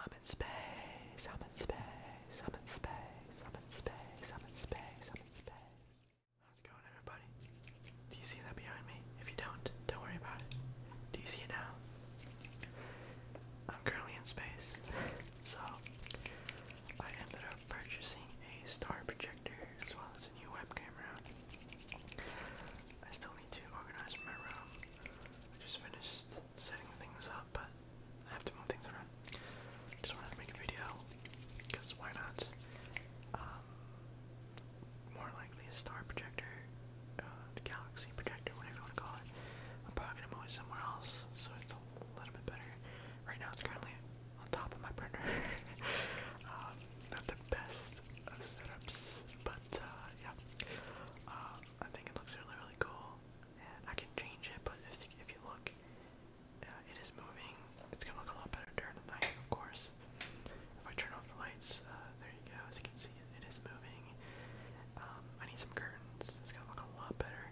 I'm in space, I'm in space, I'm in space, I'm in space, I'm in space, I'm in space. How's it going everybody? Do you see that behind me? If you don't, don't worry about it. Do you see it now? I'm currently in space. so I ended up purchasing a star projector as well as a new web I still need to organize my room. I just finished setting things up, but I have to move things around. Just wanted to make a video, because why not? Um, more likely a star projector, uh, galaxy projector, whatever you want to call it. I'm probably gonna move it somewhere else, so it's a little bit better. Right now, it's currently on top of my printer. Um, not the best of setups, but uh, yeah. Uh, I think it looks really, really cool, I can change it. But if, if you look, uh, it is moving. It's gonna look a lot better during the night, of course. If I turn off the lights, uh, there you go. As you can see, it is moving. Um, I need some curtains. It's gonna look a lot better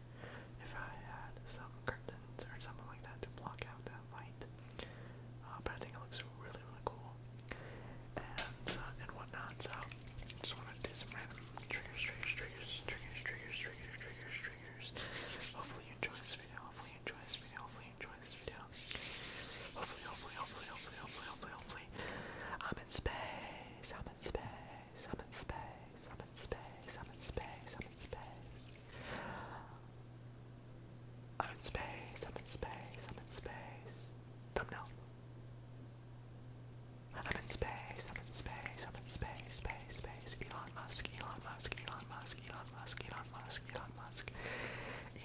if I had some curtains or something like that to block out that light. Uh, but I think it looks really, really cool and uh, and whatnot. So just want to do some random triggers, triggers, triggers, triggers, triggers, triggers, triggers, triggers. Hopefully you enjoy this video. Hopefully you enjoy this video. Hopefully you enjoy this video. Hopefully, hopefully, hopefully, hopefully, hopefully, hopefully, hopefully. I'm in space. I'm in space. I'm in space. I'm in space. I'm in space. I'm in space. I'm in space, I'm in space, I'm in space. Thumbnail. I'm in space, I'm in space, I'm in space, space, space. Elon Musk, Elon Musk, Elon Musk, Elon Musk, Elon Musk, Elon Musk.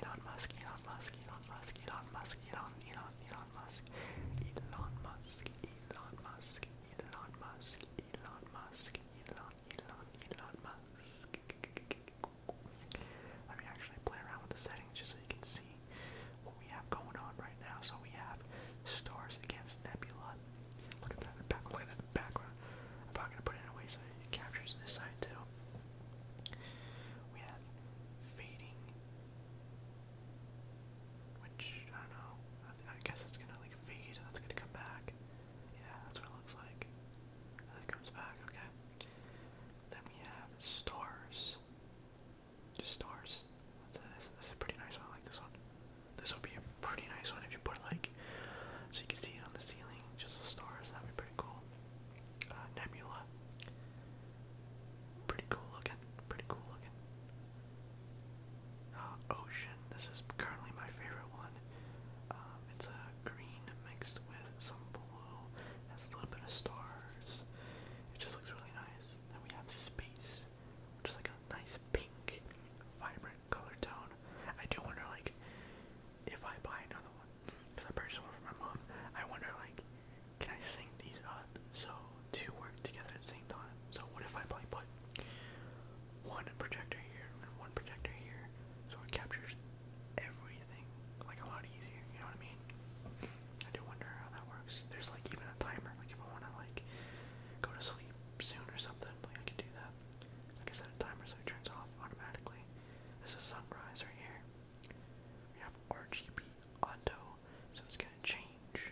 Elon Musk, Elon Musk, Elon Musk, Elon Musk, Elon, Elon, Elon Musk. Elon Musk, Elon Musk, Elon Musk, Elon Musk, Elon Elon, Elon, Let me actually play around with the settings just so you can see what we have going on right now. So we have Stars Against Nebula. Look at that in the background. I'm probably gonna put it in a way so it captures this side too. We have Fading, which I don't know. I, guess it's gonna like fade and that's gonna come back. Yeah, that's what it looks like. it comes back, okay. Then we have stars. Just stars. That's a, this, is a pretty nice one. I like this one. This would be a pretty nice one if you put like, so you can see it on the ceiling, just the stars. That'd be pretty cool. Uh, nebula. Pretty cool looking. Pretty cool looking. Uh, ocean. This is currently my favorite one. Um, it's a green mixed with some blue. Has a little bit of stars. It just looks really nice. Then we have Space, which is like a nice pink, vibrant color tone. I do wonder, like, if I buy another one, because I purchased one for my mom, I wonder, like, can I sync these so two work together at the so what if I play put one projector here and one projector here, so it captures everything like a lot easier. You know what I mean? I do wonder how that works. There's like even a timer. Like if I want to like go to sleep soon or something, like I can do that. Like I set a timer so it turns off automatically. This is sunrise right here. We have RGB auto, so it's gonna change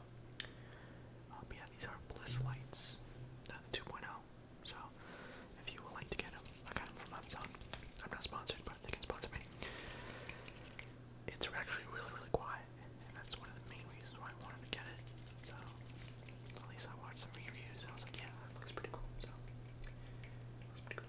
Um, yeah, these are Bliss Lights, uh, 2.0. So, if you would like to get them, I got them from Amazon. I'm not sponsored, but they can sponsor me. It's actually really, really quiet, and that's one of the main reasons why I wanted to get it. So, at least I watched some reviews, and I was like, yeah, that looks pretty cool. So, pretty cool.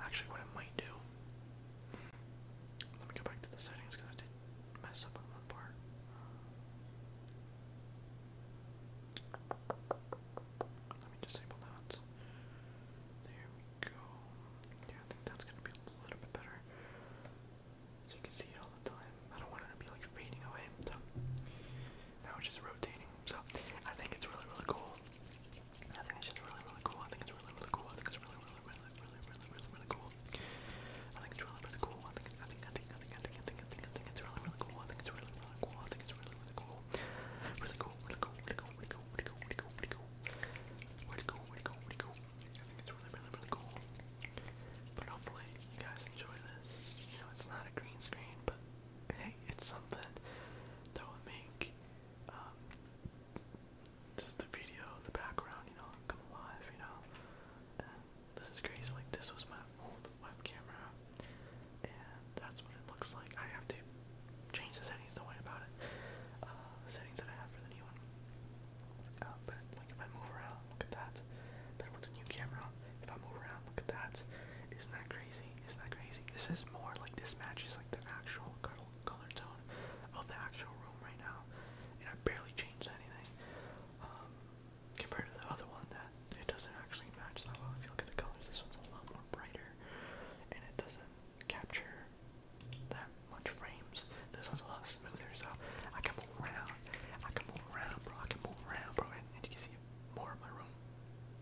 Actually, what I might do. Let me go back to the settings because I mess up one part. Let me disable that. There we go. Yeah, that's gonna be a little bit better. So you can see it all the time. I don't want it to be like fading away. So now just rotating. So I think it's really really cool. I think it's just really, really cool. I think it's really, really cool. I think it's really, really, really, really, really, really, really cool. I think it's really, really cool. I think, I think, I think, I think, I think, I think, I think, I think it's really, really cool. I think it's really, really cool. I think it's really, really cool. Really cool. Really cool. Really cool. Really cool. Really cool. Really cool. Really cool. Really cool. Really cool. Really cool. I think it's really, really, really cool. But hopefully you guys enjoy this. You know, it's not a green screen, but hey, it's something that will make um, just the video, the background, you know, come alive, you know. this is crazy. Like this was my old web and that's what it looks like. I have to change the settings. Don't worry about it. Uh, settings that I have for the new one. Uh, but like if I move around, look at that. That with the new camera. If I move around, look at that. Isn't that crazy? Isn't that crazy? This is more like this matches like the actual color tone of the actual room right now, and I barely changed anything um, compared to the other one that it doesn't actually match that well. If you look at the colors, this one's a lot more brighter, and it doesn't capture that much frames. This one's a lot smoother, so I can move around. I can move around, bro. I can move around, bro, and you can see more of my room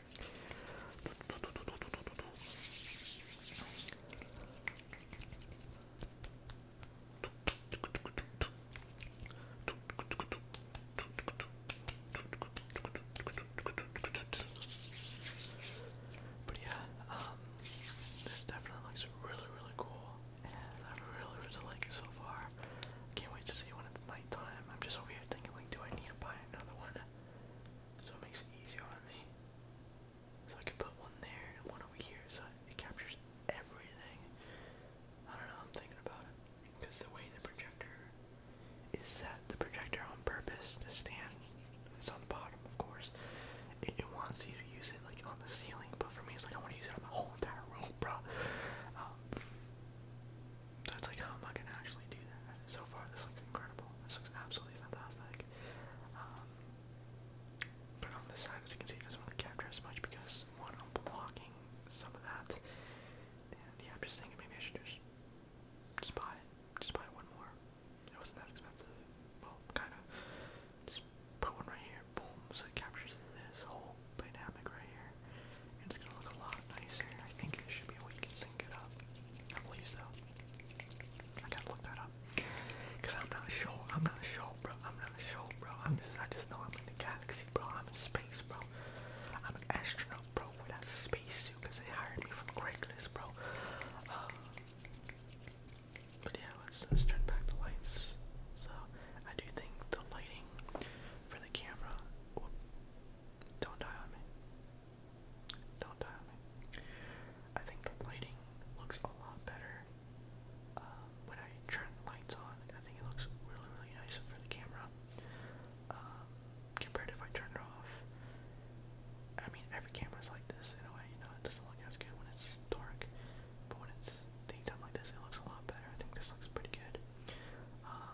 But yeah, um, this definitely looks really, really cool, and I really, really like it so far. Can't wait to see when it's nighttime. I'm just over here thinking, like, do I need to buy another one? so it makes it easier on me. So I can put one there and one over here, so it captures everything. I don't know, I'm thinking about it. Because the way the projector is set, the projector on purpose to stand, it's on the bottom, of course. It, wants you to use it like on the ceiling, but for me, it's like I want to use it on the whole entire room, bro. So it's like, how am I gonna actually do that? So far, this looks incredible. This looks absolutely fantastic. Um, but on this side, as you can see, it doesn't really capture as much because one, I'm blocking some of that, and yeah, I'm just thinking maybe I should just just buy it, just buy one more. It wasn't that expensive. Well, kind of. Just put one right here. Boom. So it captures this whole dynamic right here. It's gonna look a lot nicer. I think there should be a way you can sync it up. I believe so. I gotta look that up. Cause I'm not sure. I'm not sure, bro. I'm not sure, bro. I'm just. I just know I'm in the galaxy, bro. I'm in space, bro. I'm an astronaut, bro. Without a spacesuit, cause they hired me from Craigslist, bro. Um, but yeah, let's let's turn back the lights. So I do think the lighting for the camera will don't die on me. Don't die on me. I think the lighting looks a lot better uh, when I turn the lights on. I think it looks really, really nice for the camera um, compared to if I turn it off. I mean, every camera is like this in a way, you know, it doesn't look as good when it's dark, but when it's daytime like this, it looks a lot better. I think this looks pretty good. Um,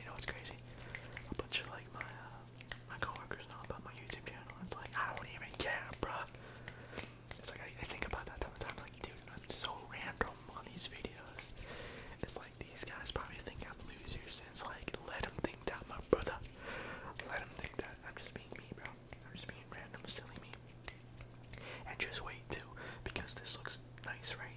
You know what's crazy? A bunch of like my uh, my coworkers know about my YouTube channel. It's like I don't even care, bruh. It's like I, I think about that sometimes. Like, dude, I'm so random on these videos. It's like these guys probably think I'm losers. And it's like let them think that, my brother. Let them think that I'm just being me, bro. I'm just being random, silly me. And just wait too, because this looks nice, right?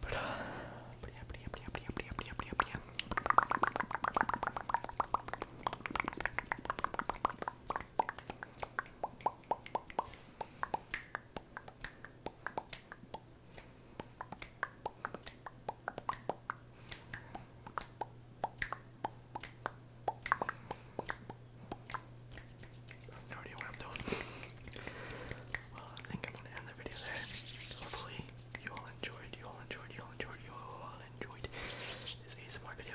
But, uh, but yeah, but yeah, but yeah, but yeah, but yeah, but yeah, but yeah, but yeah no idea what I'm doing. well, I think I'm gonna end the video there. Hopefully, you all enjoyed, you all enjoyed, you all enjoyed, you all enjoyed this ASMR video.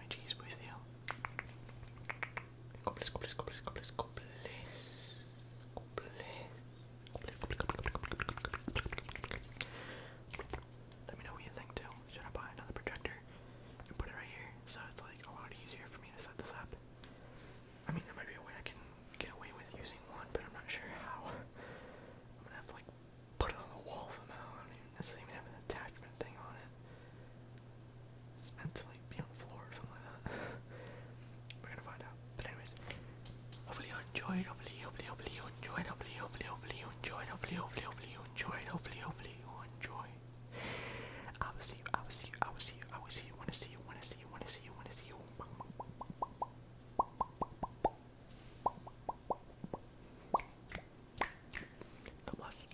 Let me know what you think Should I buy another projector and put it right here so it's like a lot easier for me to set this up? I mean, there might be a way I can get away with using one, but I'm not sure how. I'm gonna have to like put it on the wall somehow. I don't even necessarily even have an attachment thing on it. It's meant to like be on the floor or something like that. We're gonna find out. But anyways, hopefully you enjoyed. Hopefully, hopefully, hopefully you enjoyed. Hopefully, hopefully, hopefully you enjoyed. Hopefully, hopefully, hopefully you enjoyed. Hopefully, hopefully you enjoyed. I will see you. I will see you. I will see you. I will see you. Wanna see you? Wanna see you? Wanna see you? Wanna see you? God bless.